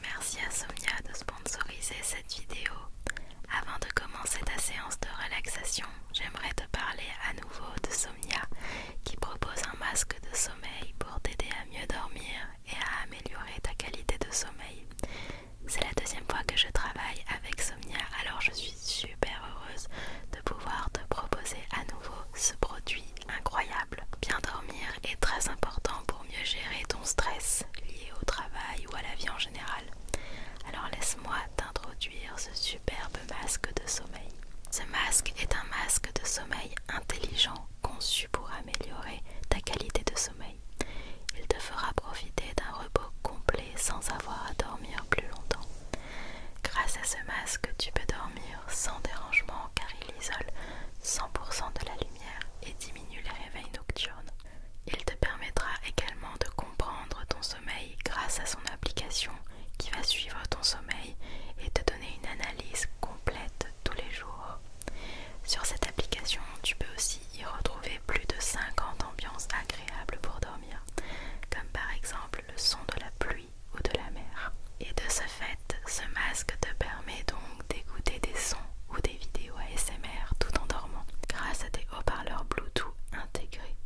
Merci à Somnia de sponsoriser cette vidéo. Avant de commencer ta séance de relaxation, j'aimerais te parler à nouveau de Somnia qui propose un masque de sommeil pour t'aider à mieux dormir et à améliorer ta qualité de sommeil. C'est la deuxième fois que je travaille avec Somnia, alors je suis super heureuse de pouvoir te proposer à nouveau ce produit incroyable. Bien dormir est très important pour mieux gérer ton stress lié au travail ou à la vie en général. Alors laisse-moi t'introduire ce superbe masque de sommeil. Ce masque est un masque de sommeil intelligent conçu pour améliorer ta qualité de sommeil. Il te fera profiter d'un repos complet sans avoir à dormir plus longtemps. Grâce à ce masque, tu peux dormir sans dérangement car il isole 100% de la lumière et diminue les réveils nocturnes. Il te permettra également de comprendre ton sommeil grâce à son application qui va suivre ton sommeil et te donner une analyse complète tous les jours. Sur cette application, tu peux aussi y retrouver plus de 50 ambiances agréables pour dormir, comme par exemple le son de la pluie ou de la mer. Et de ce fait, ce masque te permet donc d'écouter des sons ou des vidéos ASMR tout en dormant grâce à des haut-parleurs Bluetooth intégrés.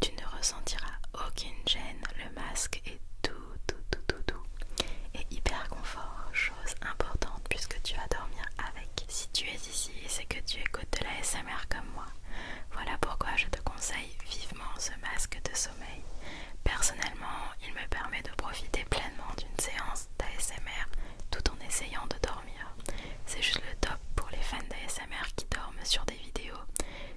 Tu ne ressentiras aucune gêne, le masque est tout, tout, tout, tout, tout. Et hyper confort, chose importante puisque tu vas dormir avec. Si tu es ici, c'est que tu écoutes de la SMR comme moi. Voilà pourquoi je te conseille vivement ce masque de sommeil. Personnellement, il me permet de profiter pleinement d'une séance d'ASMR tout en essayant de dormir. C'est juste le top pour les fans d'ASMR qui dorment sur des vidéos.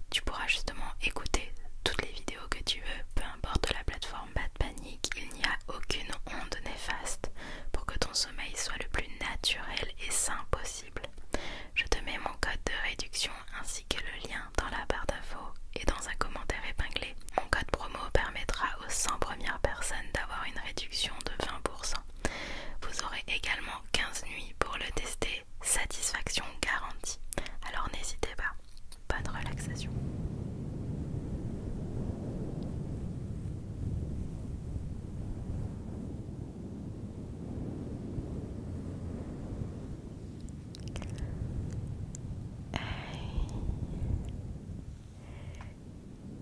Tu pourras justement écouter toutes les vidéos que tu veux, peu importe la plateforme, pas de panique, il n'y a aucune onde néfaste pour que ton sommeil soit le plus naturel et sain possible. Je te mets mon code de réduction ainsi que le lien dans la barre d'infos et dans un commentaire épinglé. Mon code promo permettra aux 100 premières personnes d'avoir une réduction de 20%. Vous aurez également 15 nuits pour le tester, satisfaction garantie. Alors n'hésitez pas. Bonne relaxation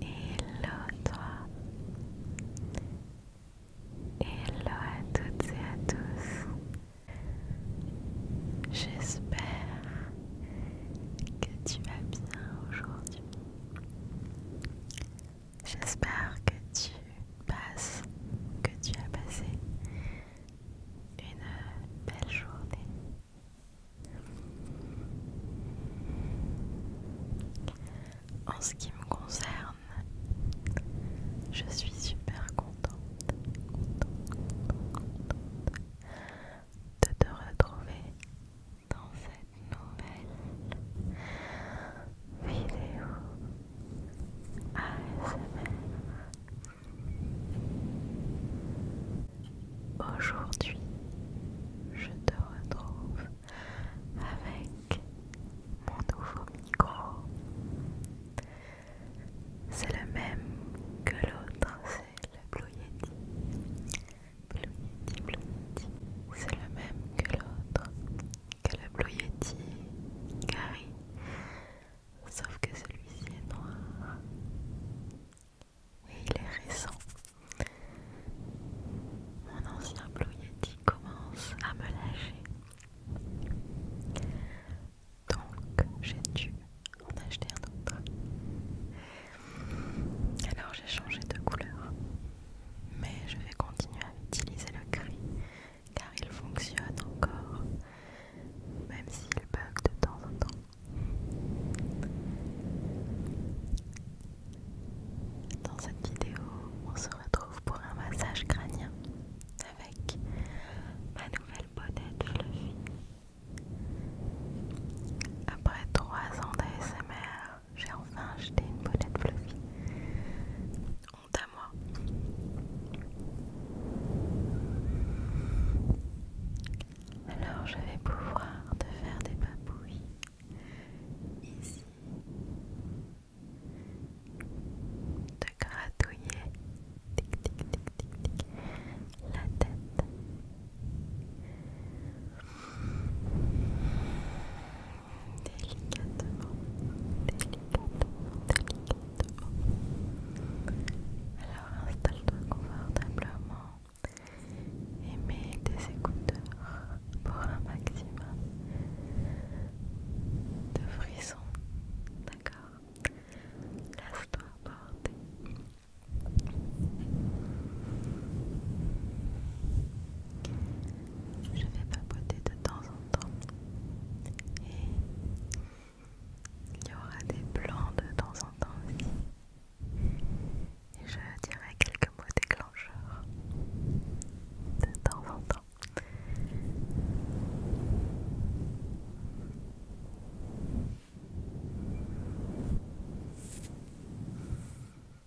et Hello toi. Hello à toutes et à tous. J'espère que tu vas bien aujourd'hui. J'espère que tu passes, que tu as passé une belle journée. En ce qui me concerne, je suis super contente, contente, de te retrouver dans cette nouvelle vidéo ASMR. Aujourd'hui, je te retrouve avec mon nouveau micro. C'est le même que l'autre, c'est le Blue Yeti. Blue Yeti, Blue Yeti. C'est le même que l'autre que le Blue Yeti Gary, sauf que celui-ci est noir et il est récent. Mon ancien Blue Yeti commence à me lâcher. Donc j'ai dû en acheter un autre. Alors j'ai changé de couleur mais je vais continuer à utiliser le cri car il fonctionne encore, même s'il bug de temps en temps. Dans cette vidéo, on se retrouve pour un massage crânien avec ma nouvelle bonnette fluffy. Après 3 ans d'ASMR, j'ai enfin acheté une bonnette fluffy. Honte à moi. Alors je vais pouvoir te faire des papouilles ici, de gratouiller tic, tic, tic, tic, tic, la tête. Délicatement, délicatement, délicatement. Alors installe-toi confortablement et mets tes écouteurs pour un maximum de frissons. D'accord Laisse-toi porter. Je vais papoter de temps en temps et il y aura des plans de temps en temps aussi. Et je dirai quelques mots déclencheurs de temps en temps.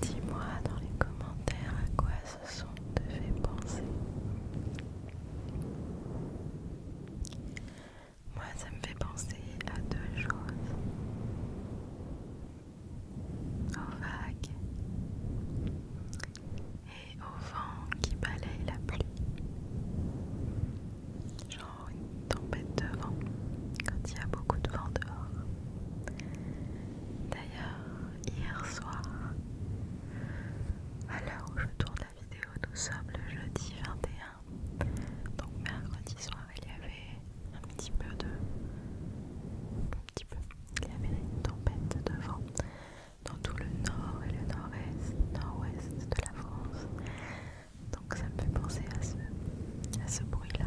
Dis-moi dans les commentaires à quoi ce son te fait penser Moi, ça me fait penser à deux choses. Aux vagues et au vent qui balaye la pluie. Genre une tempête de vent quand il y a beaucoup de vent dehors. D'ailleurs, hier soir, alors, l'heure où je tourne la vidéo, nous sommes le jeudi 21. Donc mercredi soir, il y avait un petit peu de... Un petit peu. Il y avait une tempête de vent dans tout le nord et le nord-est, nord-ouest de la France. Donc ça me fait penser à ce, à ce bruit-là.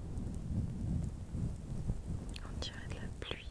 On dirait de la pluie.